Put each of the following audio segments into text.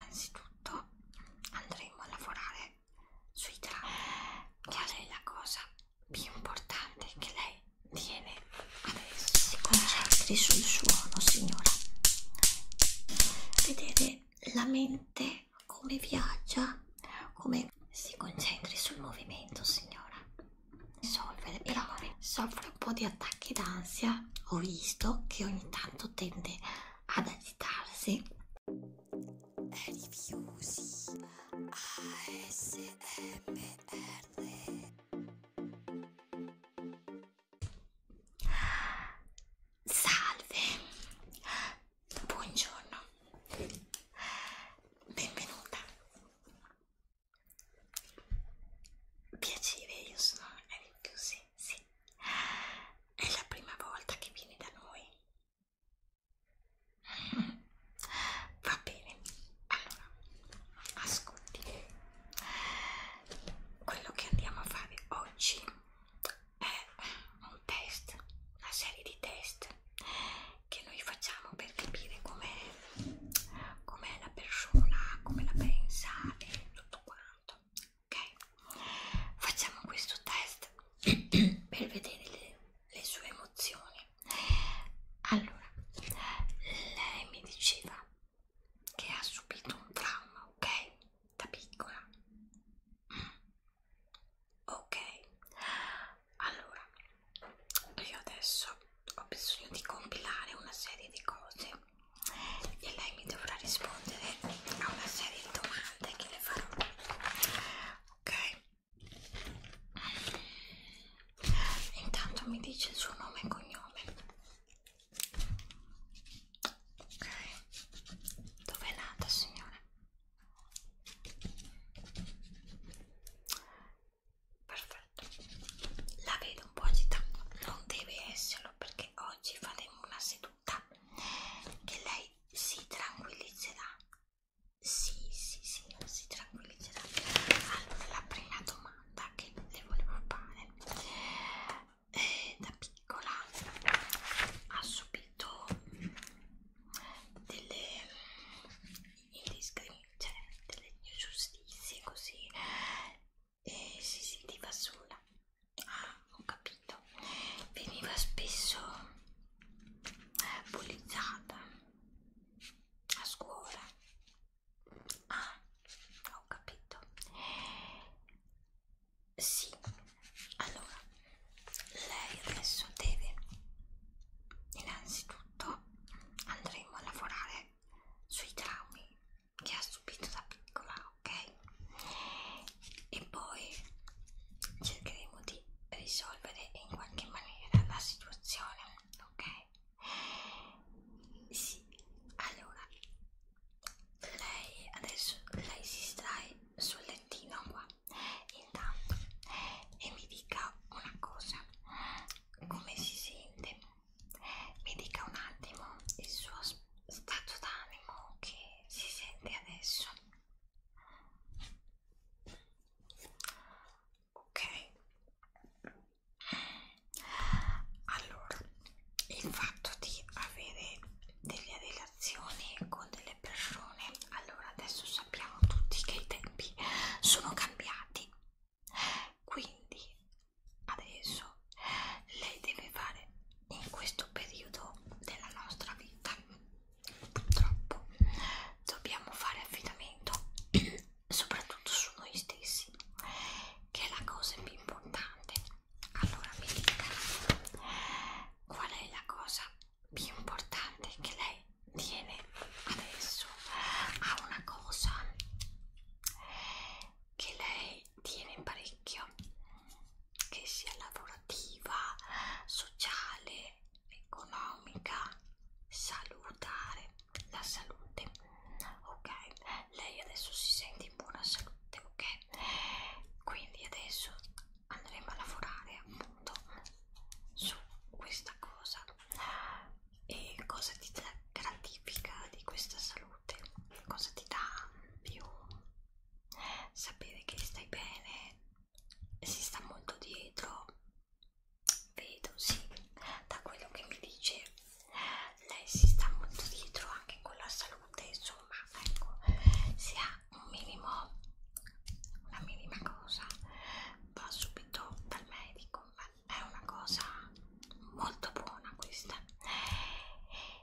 innanzitutto andremo a lavorare sui drammi qual è la cosa più importante che lei tiene adesso si concentri sul suono signora vedere la mente come viaggia come si concentri sul movimento signora risolvere però soffre un po' di attacchi d'ansia ho visto che ogni tanto tende ad agitarsi. Reviews ASMR Salve, buongiorno, benvenuta. Piacere, io sono Reviews sì, sì. È la prima volta che vieni da noi. Va bene, allora, ascolti. Quello che andiamo a fare oggi è un test, una serie di test che noi facciamo per capire com'è com la persona, come la pensa e tutto quanto ok? Facciamo questo test per vedere le, le sue emozioni. Allora, lei mi diceva che ha subito un trauma, ok? Da piccola. Mm. Ok, allora io adesso ho bisogno di compilare una serie di cose e lei mi dovrà rispondere a una serie di domande che le farò ok intanto mi dice il suo nome e cognome ok dove è nata signora perfetto la vedo un po' agitata non deve esserlo perché oggi faremo una seduta tutta che lei si tranquillizzerà sì sì sì si tranquillizzerà allora la prima domanda che le volevo fare eh, da piccola ha subito delle eh, indiscriminazioni cioè delle ingiustizie così e si sentiva sola Ah, ho capito. Veniva spesso eh, bullizzata a scuola. Ah, ho capito. Sì, allora lei adesso deve innanzitutto andremo a lavorare sui traumi che ha subito da piccola ok? E poi cercheremo di risolvere in qualche maniera la situazione, ok? Sì, allora lei adesso lei si strae sul lettino qua intanto e mi dica una cosa come si sente mi dica un attimo il suo stato d'animo che si sente adesso ok allora il fatto di avere delle relazioni con delle persone allora adesso sappiamo tutti che i tempi sono cambiati quindi adesso lei deve fare in questo periodo della nostra vita purtroppo dobbiamo fare affidamento soprattutto su noi stessi che è la cosa più importante allora mi dica qual è la cosa più importante che lei tiene adesso a una cosa che lei tiene in parecchio che sia lavorativa, sociale, economica, salutare la salute. Ok, lei adesso si sente in buona salute, ok? Quindi adesso andremo a lavorare appunto su questa cosa. E cosa ti gratifica di questa salute? Cosa ti dà più sapere che stai bene si sta molto dietro vedo sì da quello che mi dice lei si sta molto dietro anche con la salute insomma ecco se ha un minimo una minima cosa va subito dal medico ma è una cosa molto buona questa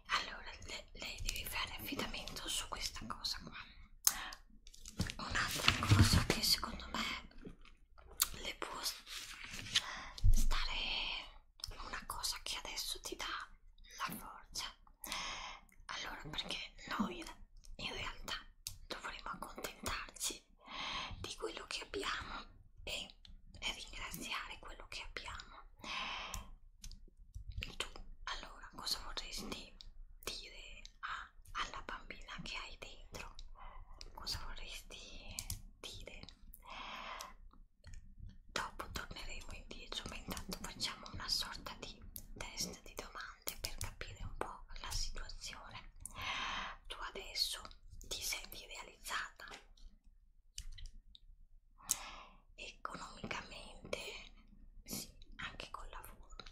allora le, le devi fare affidamento su questa cosa qua un'altra cosa che secondo me le può stare una cosa che adesso ti dà la forza allora perché noi in realtà dovremmo accontentarci di quello che abbiamo e, e ringraziare quello che abbiamo tu allora cosa vorresti dire a, alla bambina che hai dentro? Cosa vorresti dire? Dopo torneremo indietro, ma intanto facciamo una sorta di test di domande per capire un po' la situazione. Tu adesso ti senti realizzata? economicamente sì, anche col lavoro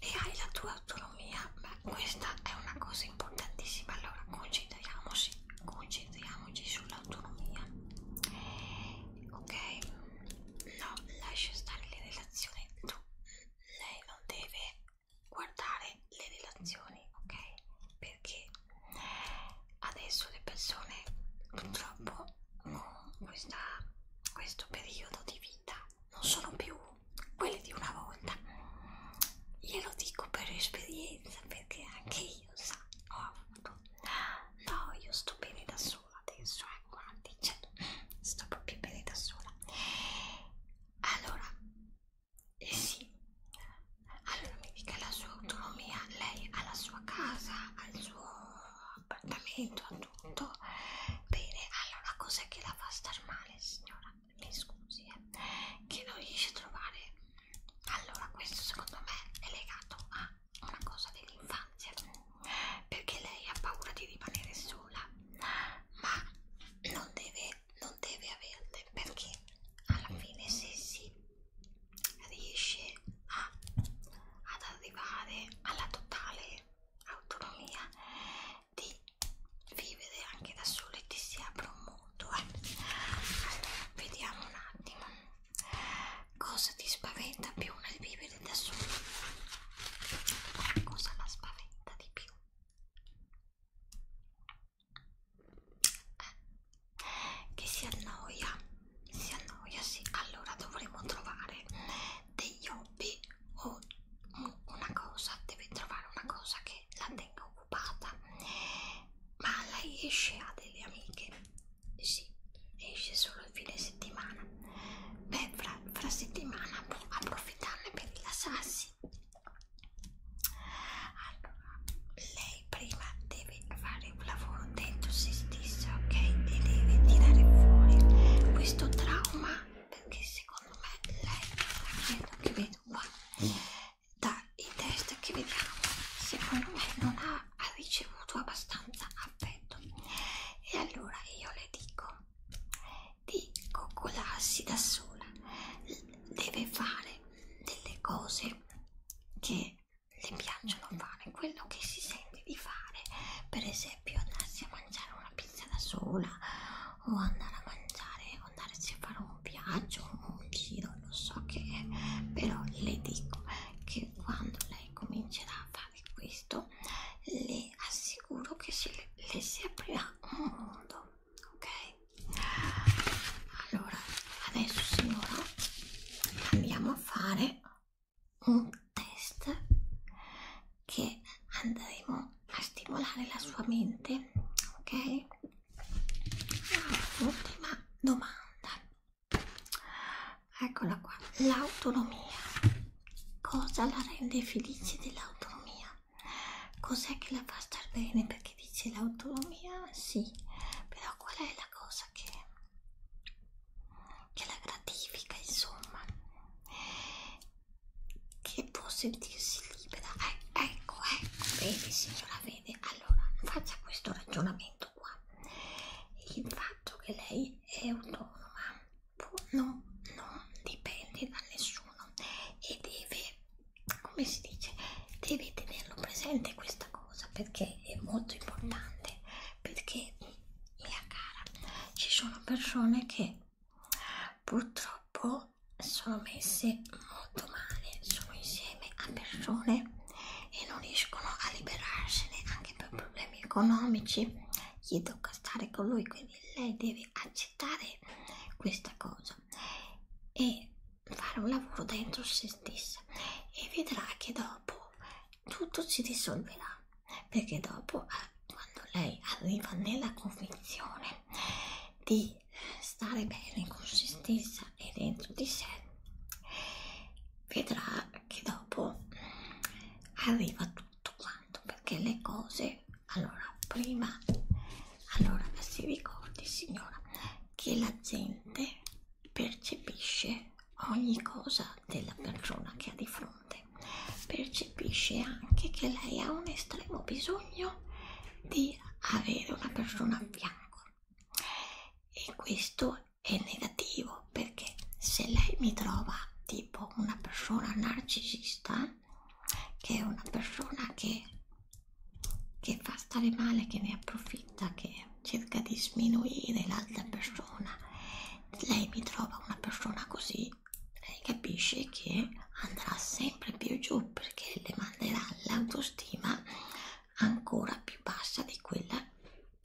e hai la tua autonomia beh questa è una cosa importantissima allora concentriamoci concentriamoci sull'autonomia ok no lascia stare le relazioni tu lei non deve guardare le relazioni ok perché adesso le persone purtroppo con questa, questo periodo di vita non sono più quelle di una volta glielo dico per esperienza perché anche io sa, ho avuto no io sto bene da sola adesso eh, guardi cioè, sto proprio bene da sola allora eh sì allora mi dica la sua autonomia lei ha la sua casa ha il suo suo appartamento a tutto bene allora cos'è che la fa star male signora mi scusi eh, che non riesce a trovare allora questo secondo me è legato a una cosa dell'infanzia perché lei ha paura di rimanere sola ma non deve non deve averle perché alla fine se si riesce a, ad arrivare alla totale autonomia di vivere anche da solo e ti si apre un mondo eh? allora vediamo un attimo cosa ti spaventa più nel vivere da solo cosa la spaventa di più eh, che si annoia si annoia sì allora dovremo trovare degli hobby o una cosa deve trovare una cosa che la tenga occupata ma lei esce ha delle amiche sì esce solo il fine settimana beh fra, fra settimana può approfittarne per rilassarsi allora lei lei prima deve fare un lavoro dentro se stessa, ok? E deve tirare fuori questo trauma perché secondo me lei, vedo che vedo qua, dai test che vediamo, secondo me non ha, ha ricevuto abbastanza affetto. E allora io le dico di coccolarsi da sola, deve fare delle cose che le piacciono fare quello che si sente di fare per esempio andarsi a mangiare una pizza da sola o andare a mangiare o andarsi a fare un viaggio un giro non so che è però le dico che quando lei comincerà a fare questo le assicuro che se le, le si aprirà un mondo ok allora adesso signora andiamo a fare un test che andremo a stimolare la sua mente, ok? Ultima domanda. Eccola qua, l'autonomia. Cosa la rende felice dell'autonomia? Cos'è che la fa star bene? Perché dice l'autonomia, sì, però qual è la cosa che che la gratifica insomma che può sentirsi libera eh, ecco ecco vedi signora vede allora faccia questo ragionamento qua il fatto che lei è autonoma può, no, non dipende da nessuno e deve come si dice deve tenerlo presente questa cosa cosa perché è molto importante perché mia cara ci sono persone che purtroppo sono messe molto male sono insieme a persone e non riescono a liberarsene anche per problemi economici gli tocca stare con lui quindi lei deve accettare questa cosa e fare un lavoro dentro se stessa e vedrà che dopo tutto si risolverà perché dopo quando lei arriva nella convinzione di stare bene con se stessa e dentro di sé vedrà che dopo arriva tutto quanto perché le cose allora prima allora si ricordi signora che la gente percepisce ogni cosa della persona che ha di fronte, percepisce anche che lei ha un estremo bisogno di avere una persona a fianco e questo è negativo perché se lei mi trova tipo una persona narcisista che è una persona che, che fa stare male, che ne approfitta, che cerca di sminuire l'altra persona lei mi trova una persona così lei capisce che andrà sempre più giù perché le manderà l'autostima ancora più bassa di quella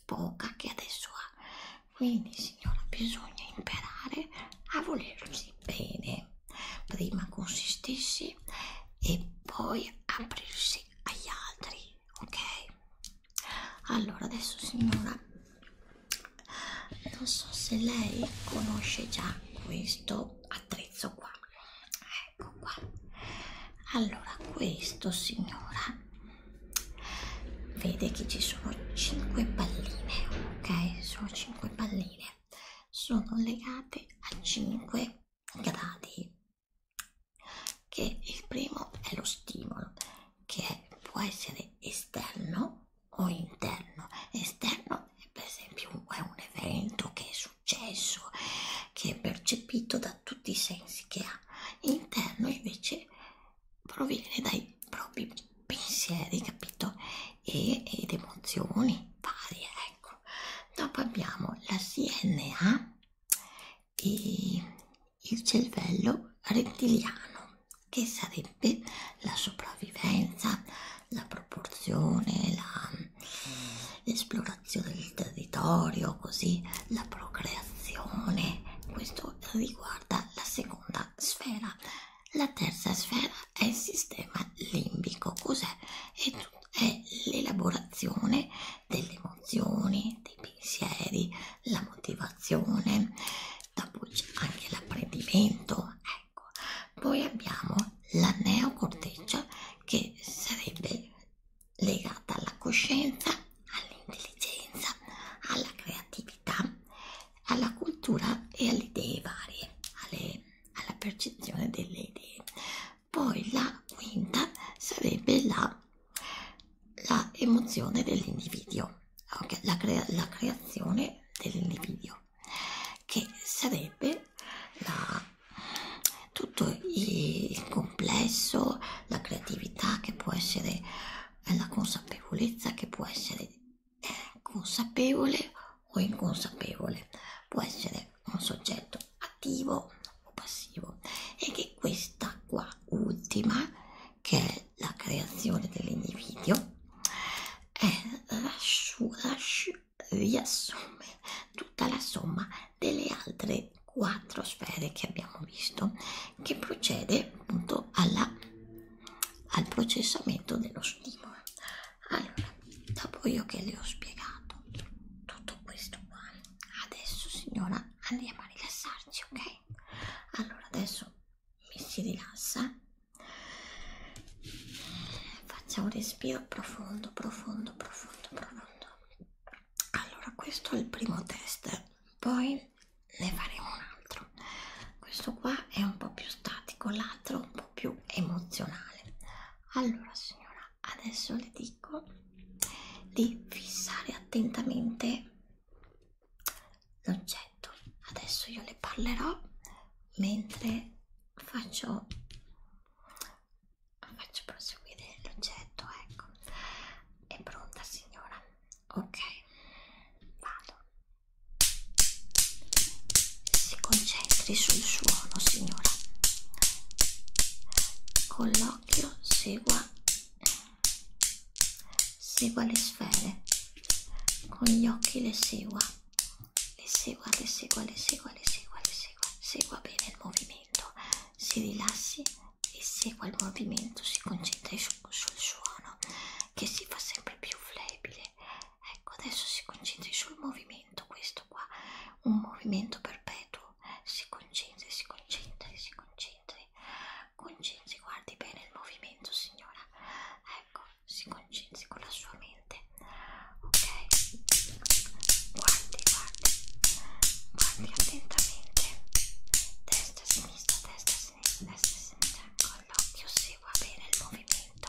poca che adesso ha quindi signora bisogna imparare a volersi bene prima con se stessi e poi aprirsi agli altri ok allora adesso signora non so se lei conosce già questo attrezzo qua ecco qua allora questo signora vede che ci sono 5 palline ok sono 5 palline sono legate a 5 gradi che il primo è lo stimolo che è, può essere esterno o interno esterno è per esempio un, è un evento che è successo che è percepito da tutti i sensi che ha interno invece proviene dai propri pensieri capito e, ed emozioni varie ecco dopo abbiamo la CNA di il cervello rettiliano che sarebbe la sopravvivenza, la proporzione, l'esplorazione del territorio, così la procreazione. Questo riguarda la seconda sfera. La terza sfera è il sistema limbico. Cos'è? È, è l'elaborazione delle emozioni, dei pensieri, la motivazione, dopo c'è anche l'apprendimento, ecco. Poi abbiamo la neocorteccia che sarebbe legata alla coscienza, all'intelligenza, alla creatività, alla cultura e alle idee varie, alle, alla percezione delle idee. Poi la quinta sarebbe la la emozione dell'individuo, okay? la, crea la creazione dell'individuo, che sarebbe la, tutto il complesso, la creatività che può essere, eh, la consapevolezza che può essere eh, consapevole o inconsapevole, può essere un soggetto attivo o passivo e che questa qua ultima che è la creazione dell'individuo e riassume tutta la somma delle altre quattro sfere che abbiamo visto che procede appunto alla, al processamento dello stimolo allora dopo io che le ho spiegato tutto questo qua adesso signora andiamo a rilassarci, ok? Allora adesso mi si rilassa. Facciamo un respiro profondo, profondo, profondo, profondo. Allora, questo è il primo test, poi ne faremo un altro. Questo qua è un po' più statico, l'altro un po' più emozionale. Allora, signora, adesso le dico di fissare attentamente l'oggetto adesso io le parlerò mentre faccio faccio proseguire l'oggetto ecco è pronta signora ok vado si concentri sul suono signora con l'occhio segua Segua le sfere, con gli occhi le segua, le segua, le segua, le segua, le segua, le segua, segua bene il movimento, si rilassi e segua il movimento, si concentri su, sul suono che si fa sempre più flebile. Ecco, adesso si concentri sul movimento, questo qua, un movimento perpetuo, si concentri, si concentri, si concentri Concentri, guardi bene il movimento, signora. Ecco, si concentri con la sua mente. Ok? Guardi, guardi. Guardi attentamente. Destra, sinistra, destra, sinistra, destra, sinistra. Con l'occhio segua bene il movimento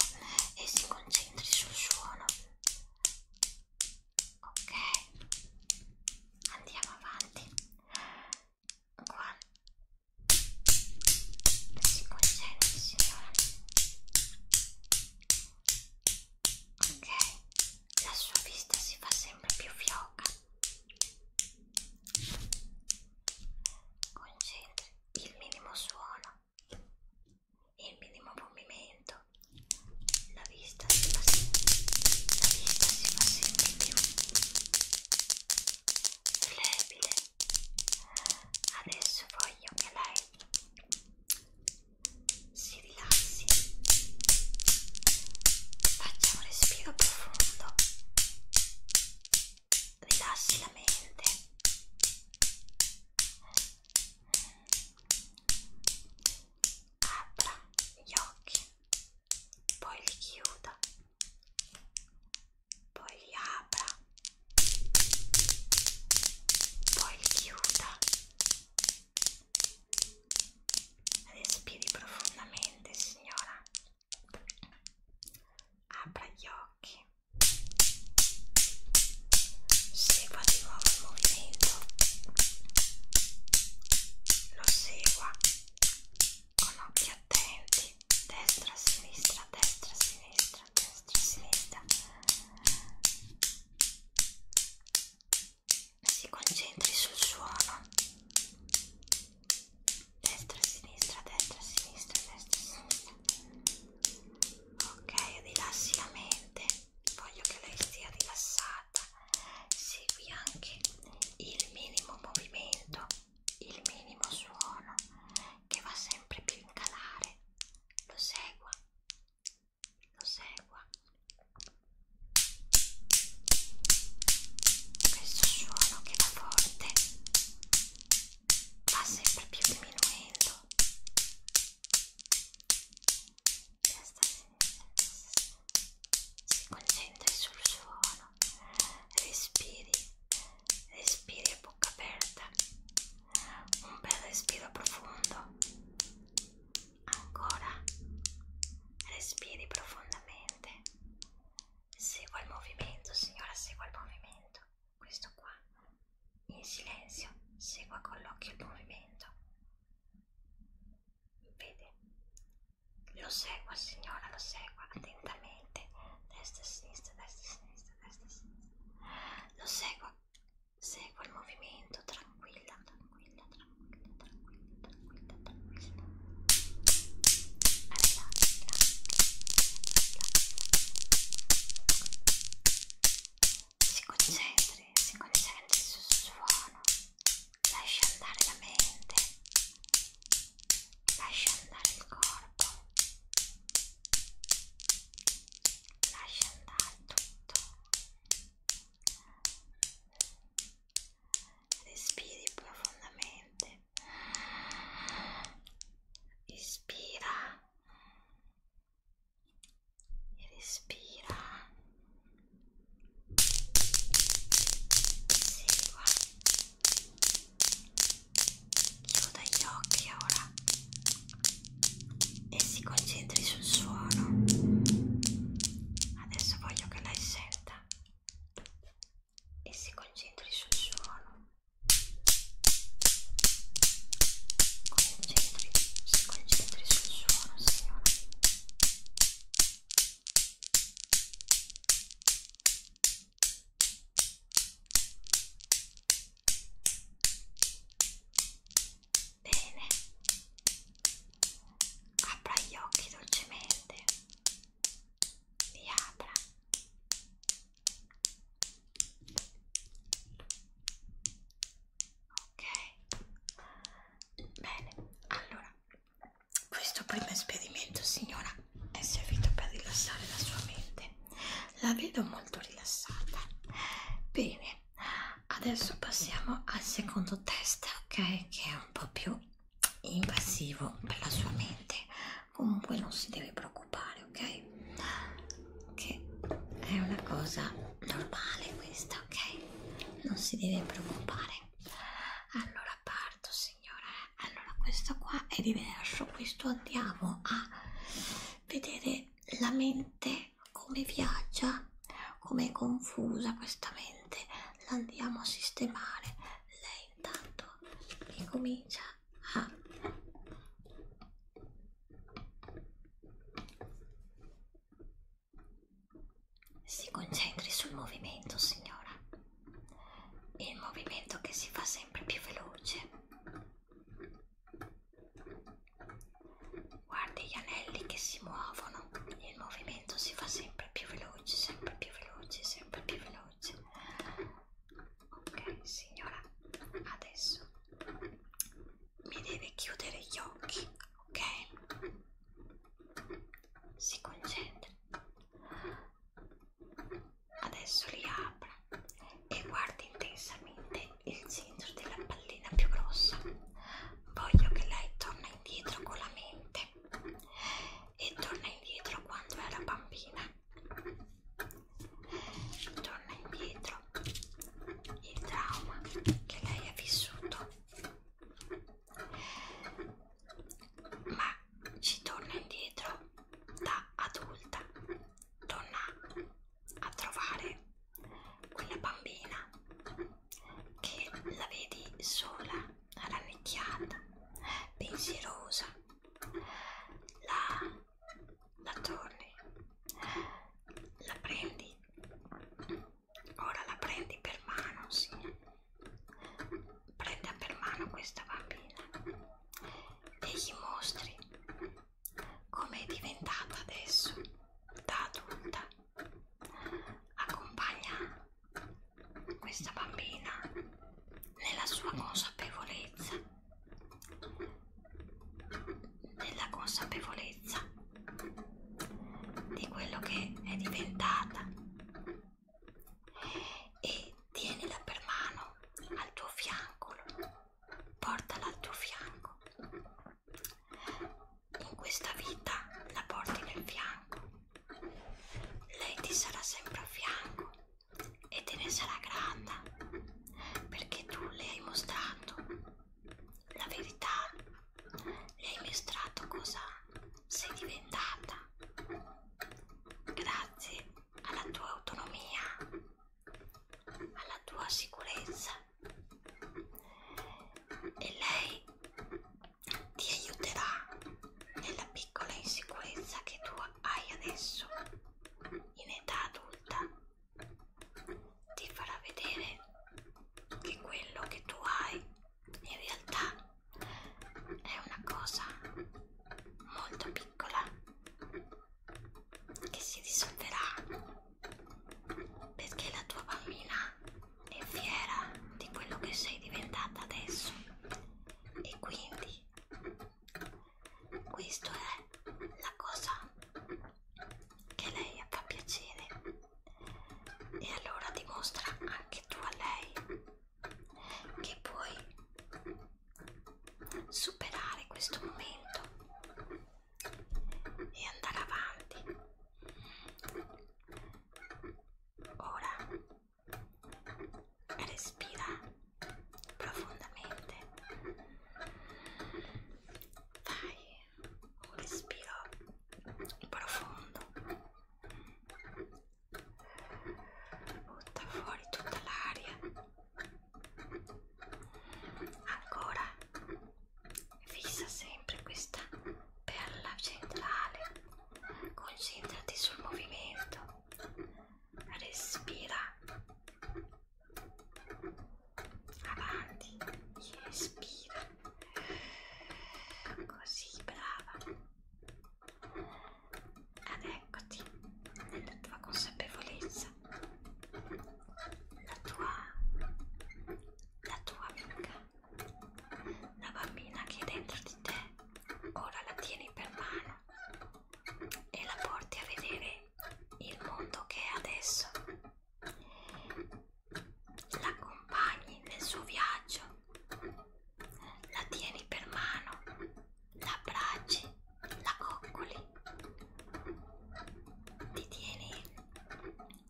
e si concentri sul suono. Ok? Andiamo avanti uguale si concede signora ok la sua vista si fa sempre più fioca concentri il minimo suono il minimo movimento la vista si fa sempre, la vista si fa sempre più flebile adesso voglio che lei si rilassi faccia un respiro profondo rilassi la mente apra gli occhi poi li chiuda poi li apra, poi li chiuda, respiri profondamente signora, apra gli occhi, segua di nuovo il movimento, lo segua con occhi attenti destra sinistra destra sinistra destra sinistra si concentri sul suono destra sinistra destra sinistra destra sinistra ok rilassi la mente voglio che lei sia rilassata segui anche il minimo movimento il minimo suono che va sempre più in calare lo segua lo segua questo suono che va forte va sempre più diminuendo destra sinistra destra sinistra si concentri sul suono, respiri, respiri a bocca aperta, un bel respiro profondo, ancora, respiri profondamente, segua il movimento signora, segua il movimento, questo qua, in silenzio, segua con l'occhio il movimento. Vede, lo segua signora, lo segua attentamente. Destra e sinistra, destra e sinistra, destra e sinistra. Lo segua, segua il movimento, tranquilla, tranquilla, tranquilla, tranquilla, tranquilla, tranquilla. Arriva, arriva, arriva. Si concentri, si concentri sul suono lascia andare la mente, lascia andare il corpo, lascia andare tutto. Respiri profondamente. Ispira e respira. Segua chiuda gli occhi ora e si concentri sul suono adesso voglio che lei senta e si concentri sul suono concentri, si concentri sul suono signora Bene, apra gli occhi dolcemente, li apra. Ok, bene, allora questo primo esperimento, signora, è servito per rilassare la sua mente. La vedo molto rilassata. Bene, adesso passiamo al secondo test, ok? Che è un po' più invasivo per la sua mente. Comunque non si deve preoccupare, ok? Che è una cosa normale questa, ok? Non si deve preoccupare. Allora parto, signora. Eh allora questo qua è diverso questo andiamo a vedere la mente come viaggia come è confusa questa mente la andiamo a sistemare lei intanto che comincia a si concentri sul movimento signora il movimento che si fa sempre più veloce guarda gli anelli che si muovono il movimento si fa sempre più veloce sempre più veloce sempre più veloce ok signora adesso mi deve chiudere gli occhi ok si concentra Adesso li apra e guardi intensamente il centro della pallina più grossa. Voglio che lei torna indietro con la mente e torna indietro quando era bambina. Torna indietro il trauma che lei ha vissuto ma ci torna indietro da adulta, torna a trovare quella bambina che la vedi sola, rannicchiata, pensierosa, la, la torni, la prendi, ora la prendi per mano, sì prenda per mano questa bambina e gli mostri come è diventata adesso da adulta accompagna questa bambina nella sua consapevolezza nella consapevolezza di quello che è diventata e tienila per mano al tuo fianco, portala al tuo fianco. In questa vita la porti nel fianco, lei ti sarà sempre a fianco e te ne sarà grata perché tu le hai mostrato la verità, le hai mostrato cosa sei diventata. Grazie alla tua autonomia, alla tua sicurezza e lei ti aiuterà nella piccola insicurezza che tu hai adesso in età adulta ti farà vedere che quello che tu hai in realtà è una cosa molto piccola che si dissolverà perché la tua bambina è fiera di quello che sei diventata adesso e quindi questa è la cosa che lei fa piacere e allora dimostra anche tu a lei che puoi superare questo momento e andare avanti. Ora respira profondamente. Fai un respiro profondo butta fuori tutta l'aria ancora fissa sempre questa perla centrale concentrati sul movimento respira avanti respira così brava ed eccoti nella tua consapevolezza, la tua, la tua amica, la bambina che è dentro di te, ora la tieni per mano e la porti a vedere il mondo che è adesso. L'accompagni nel suo viaggio la tieni per mano, la abbracci, la coccoli, ti tieni,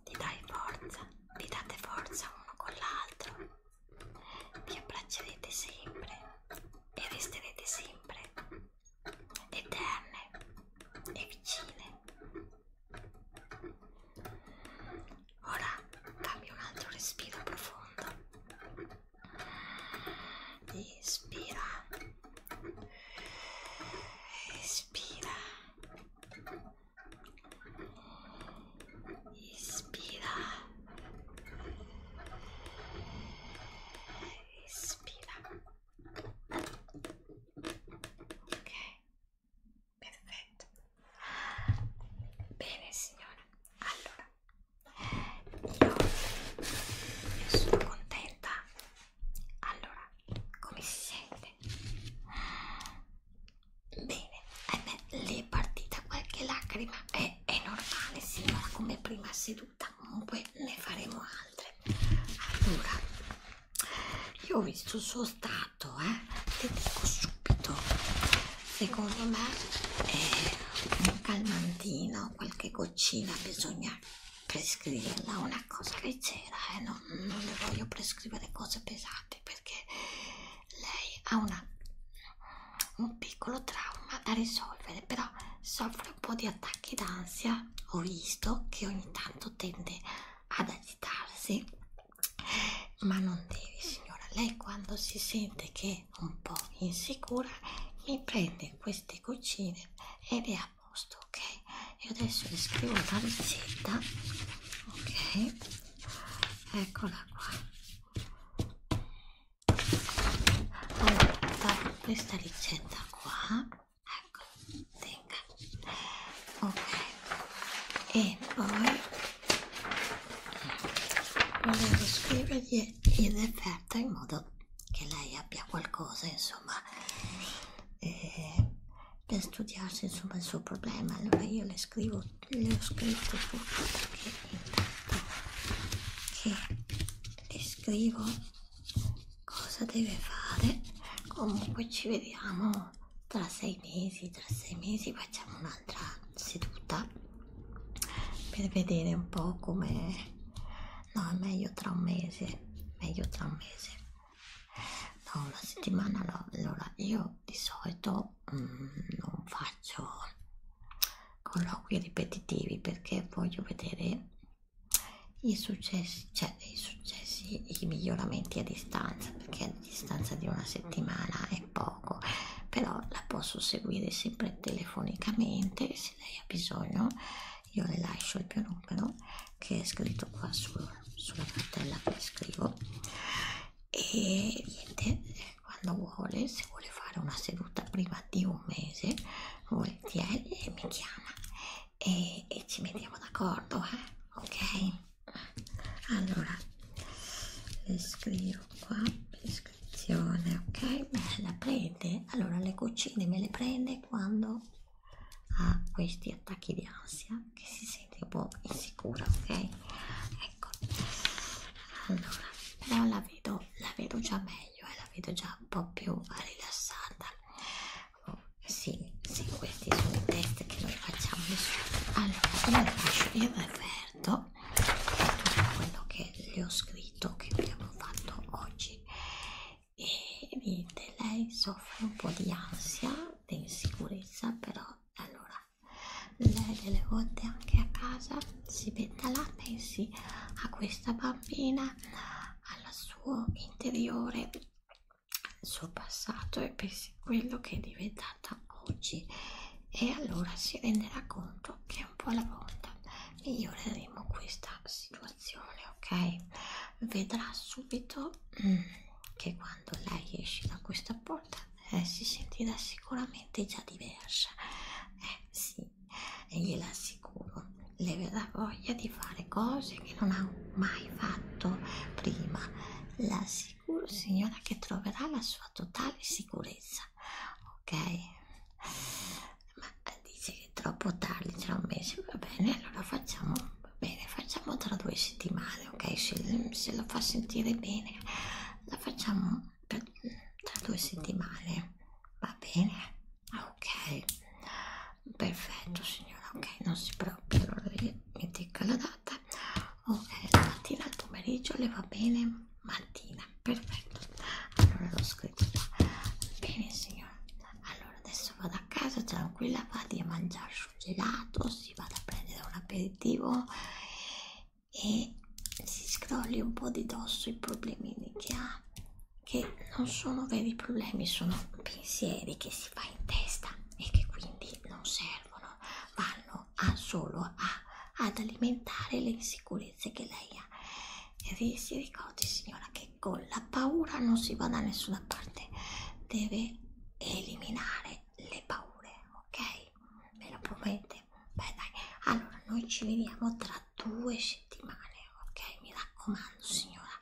ti dai forza, vi date forza uno con l'altro, vi abbraccerete sempre e resterete sempre eterne e vicine. Ora cambio un altro respiro profondo Inspira. Espira. Inspira. Espira. Ok. Perfetto. Bene signora. Allora io, io sono contenta allora come si sente bene eh beh, le partita qualche lacrima è, è normale signora come prima seduta comunque ne faremo altre allora io ho visto il suo stato eh te dico subito secondo me è un calmantino, qualche goccina bisogna prescriverla, una cosa leggera e eh? non, non le voglio prescrivere cose pesanti perché lei ha una, un piccolo trauma da risolvere, però soffre un po' di attacchi d'ansia, ho visto che ogni tanto tende ad agitarsi, ma non devi signora, lei quando si sente che un po' insicura mi prende queste goccine e le ha posto ok io adesso le scrivo la ricetta ok eccola qua allora faccio questa ricetta qua ecco tenga ok e poi volevo scrivergli il referto diretta in modo che lei abbia qualcosa insomma eh, per studiarsi insomma il suo problema allora io le scrivo le ho scritto tutto perché intanto che le scrivo cosa deve fare comunque ci vediamo tra sei mesi tra sei mesi facciamo un'altra seduta per vedere un po' come no è meglio tra un mese meglio tra un mese no una settimana no allora io di solito mm, non faccio colloqui ripetitivi perché voglio vedere i successi cioè i successi i miglioramenti a distanza perché a distanza di una settimana è poco però la posso seguire sempre telefonicamente se se lei ha bisogno io le lascio il mio numero che è scritto qua su, sulla cartella che scrivo e niente quando vuole se vuole fare una seduta prima di un mese volentieri eh, mi chiama e, e ci mettiamo d'accordo eh? ok allora le scrivo qua le scrivo descrizione, ok? Me la prende? Allora le cucine me le prende quando ha questi attacchi di ansia che si sente un po' insicura, ok? Ecco, allora, però la vedo, la vedo già meglio e eh? la vedo già un po' più rilassata. Oh, sì, sì, questi sono i test che noi facciamo. Allora, io la lascio, io mi avverto tutto quello che le ho scritto che abbiamo fatto oggi e vedete lei soffre un po' di ansia di insicurezza però allora lei delle volte anche a casa si mette là pensi a questa bambina al suo interiore il suo passato e pensi quello che è diventata oggi e allora si renderà conto che un po' alla volta miglioreremo questa situazione, ok? Vedrà subito mm, che quando lei esce da questa porta eh, si sentirà sicuramente già diversa. Eh sì, e gliela assicuro, le verrà voglia di fare cose che non ha mai fatto prima. La assicuro signora che troverà la sua totale sicurezza ok? Ma dice che è troppo tardi, tra un mese, va bene, allora facciamo, va bene, facciamo tra due settimane, ok? Se, se lo fa sentire bene, la facciamo tra, tra due settimane, va bene? Ok, perfetto signora, ok, non si preoccupi, allora io mi dico la data, ok, la mattina al pomeriggio le va bene? mattina perfetto allora lo scrivo qua bene signora allora adesso vado a casa tranquilla vado a mangiare sul gelato si vado a prendere un aperitivo e si scrolli un po' di dosso i problemini che ha che non sono veri problemi sono pensieri che si fa in testa e che quindi non servono vanno a solo a, ad alimentare le insicurezze che lei ha e si ricordi signora che con la paura non si va da nessuna parte deve eliminare le paure ok me lo promette beh dai allora noi ci vediamo tra due settimane ok mi raccomando signora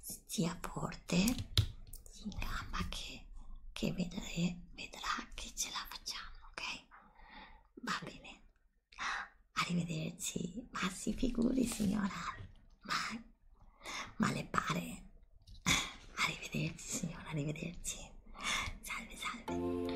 stia forte in gamba che, che vedrà, vedrà che ce la facciamo ok va bene Arrivederci, ma si figuri signora, ma, ma le pare? Arrivederci signora, arrivederci. Salve, salve.